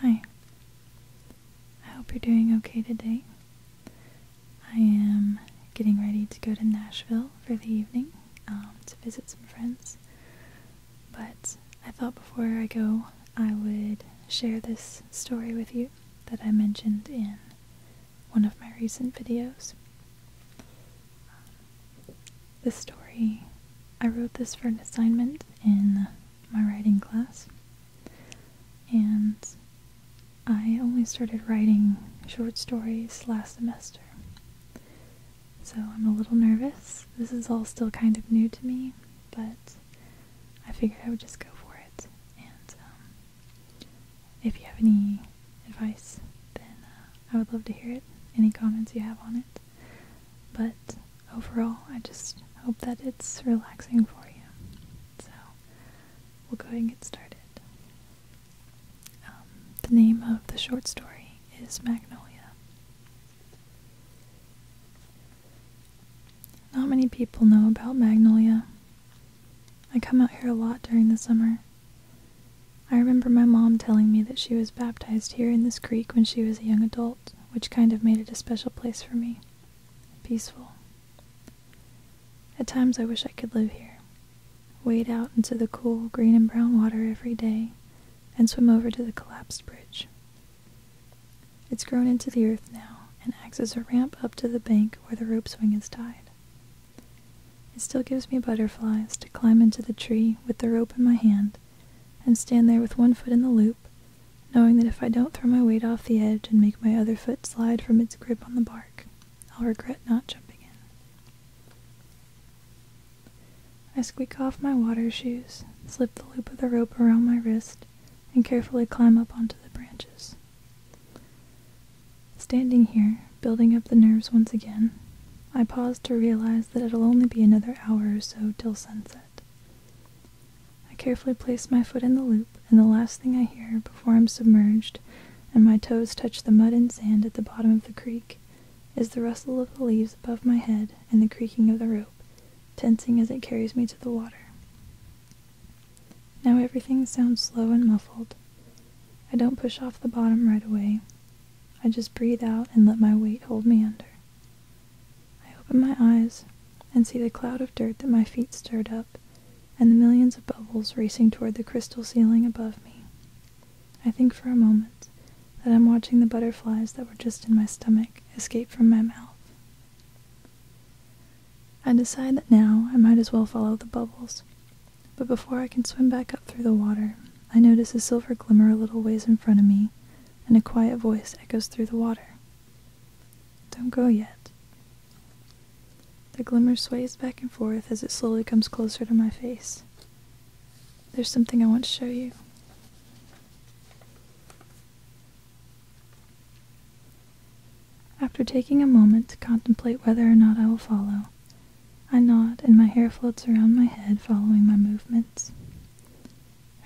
Hi. I hope you're doing okay today. I am getting ready to go to Nashville for the evening um, to visit some friends. But I thought before I go, I would share this story with you that I mentioned in one of my recent videos. This story, I wrote this for an assignment in my writing class, and I only started writing short stories last semester. So I'm a little nervous. This is all still kind of new to me, but I figured I would just go for it. And um, if you have any advice, then uh, I would love to hear it. Any comments you have on it. But overall, I just hope that it's relaxing for you. So we'll go ahead and get started. Um, the name of the short story is Magnolia. Not many people know about Magnolia. I come out here a lot during the summer. I remember my mom telling me that she was baptized here in this creek when she was a young adult, which kind of made it a special place for me. Peaceful. At times I wish I could live here, wade out into the cool green and brown water every day, and swim over to the collapsed bridge. It's grown into the earth now and acts as a ramp up to the bank where the rope swing is tied. It still gives me butterflies to climb into the tree with the rope in my hand and stand there with one foot in the loop, knowing that if I don't throw my weight off the edge and make my other foot slide from its grip on the bark, I'll regret not jumping in. I squeak off my water shoes, slip the loop of the rope around my wrist, and carefully climb up onto the branches. Standing here, building up the nerves once again, I pause to realize that it'll only be another hour or so till sunset. I carefully place my foot in the loop, and the last thing I hear before I'm submerged and my toes touch the mud and sand at the bottom of the creek is the rustle of the leaves above my head and the creaking of the rope, tensing as it carries me to the water. Now everything sounds slow and muffled. I don't push off the bottom right away, I just breathe out and let my weight hold me under. I open my eyes and see the cloud of dirt that my feet stirred up and the millions of bubbles racing toward the crystal ceiling above me. I think for a moment that I'm watching the butterflies that were just in my stomach escape from my mouth. I decide that now I might as well follow the bubbles but before I can swim back up through the water, I notice a silver glimmer a little ways in front of me, and a quiet voice echoes through the water. Don't go yet. The glimmer sways back and forth as it slowly comes closer to my face. There's something I want to show you. After taking a moment to contemplate whether or not I will follow, I nod, and my hair floats around my head following my movements.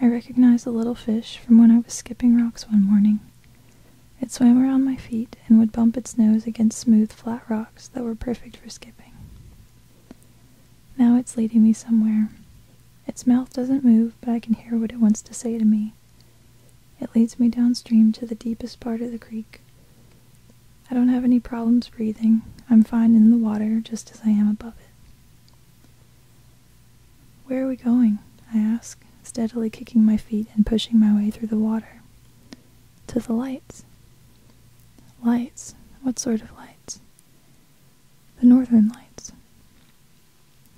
I recognize the little fish from when I was skipping rocks one morning. It swam around my feet and would bump its nose against smooth, flat rocks that were perfect for skipping. Now it's leading me somewhere. Its mouth doesn't move, but I can hear what it wants to say to me. It leads me downstream to the deepest part of the creek. I don't have any problems breathing. I'm fine in the water just as I am above it. Where are we going? I ask, steadily kicking my feet and pushing my way through the water. To the lights. Lights? What sort of lights? The northern lights.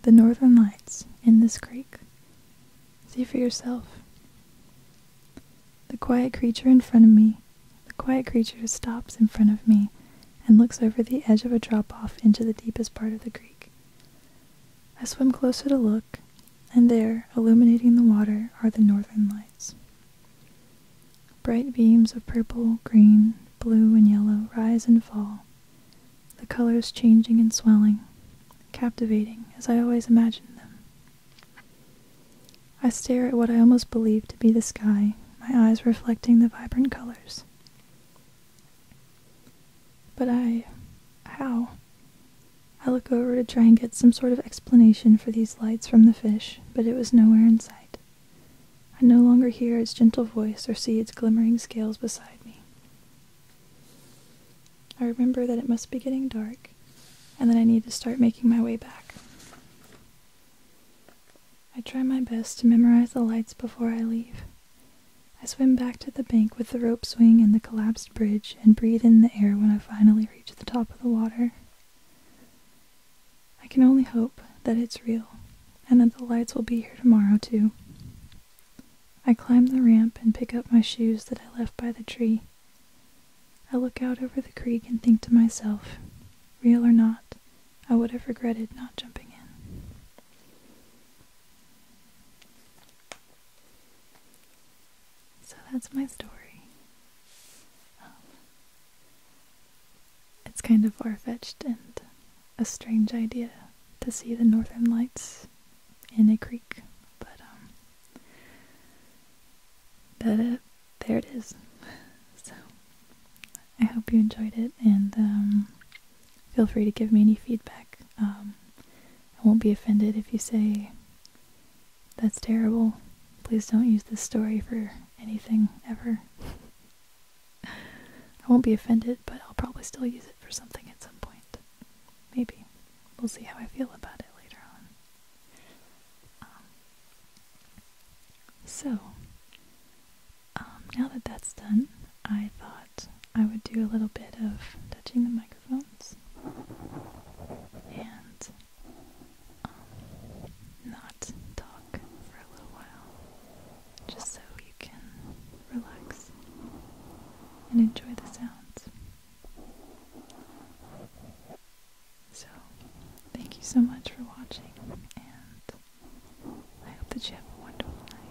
The northern lights in this creek. See for yourself. The quiet creature in front of me, the quiet creature stops in front of me and looks over the edge of a drop off into the deepest part of the creek. I swim closer to look, and there, illuminating the water, are the northern lights. Bright beams of purple, green, blue, and yellow rise and fall, the colors changing and swelling, captivating as I always imagined them. I stare at what I almost believe to be the sky, my eyes reflecting the vibrant colors. But I. how? I look over to try and get some sort of explanation for these lights from the fish, but it was nowhere in sight. I no longer hear its gentle voice or see its glimmering scales beside me. I remember that it must be getting dark, and then I need to start making my way back. I try my best to memorize the lights before I leave. I swim back to the bank with the rope swing and the collapsed bridge and breathe in the air when I finally reach the top of the water. I can only hope that it's real and that the lights will be here tomorrow, too. I climb the ramp and pick up my shoes that I left by the tree. I look out over the creek and think to myself, real or not, I would have regretted not jumping in. So that's my story. Um, it's kind of far fetched and a strange idea to see the northern lights in a creek, but um, but uh, there it is. So I hope you enjoyed it, and um, feel free to give me any feedback. Um, I won't be offended if you say that's terrible. Please don't use this story for anything ever. I won't be offended, but I'll probably still use it for something at some point. Maybe we'll see how I feel about it later on. Um, so, um, now that that's done, I thought I would do a little bit of touching the microphones and um, not talk for a little while, just so you can relax and enjoy the sounds. So, thank you so much for watching, and I hope that you have a wonderful night.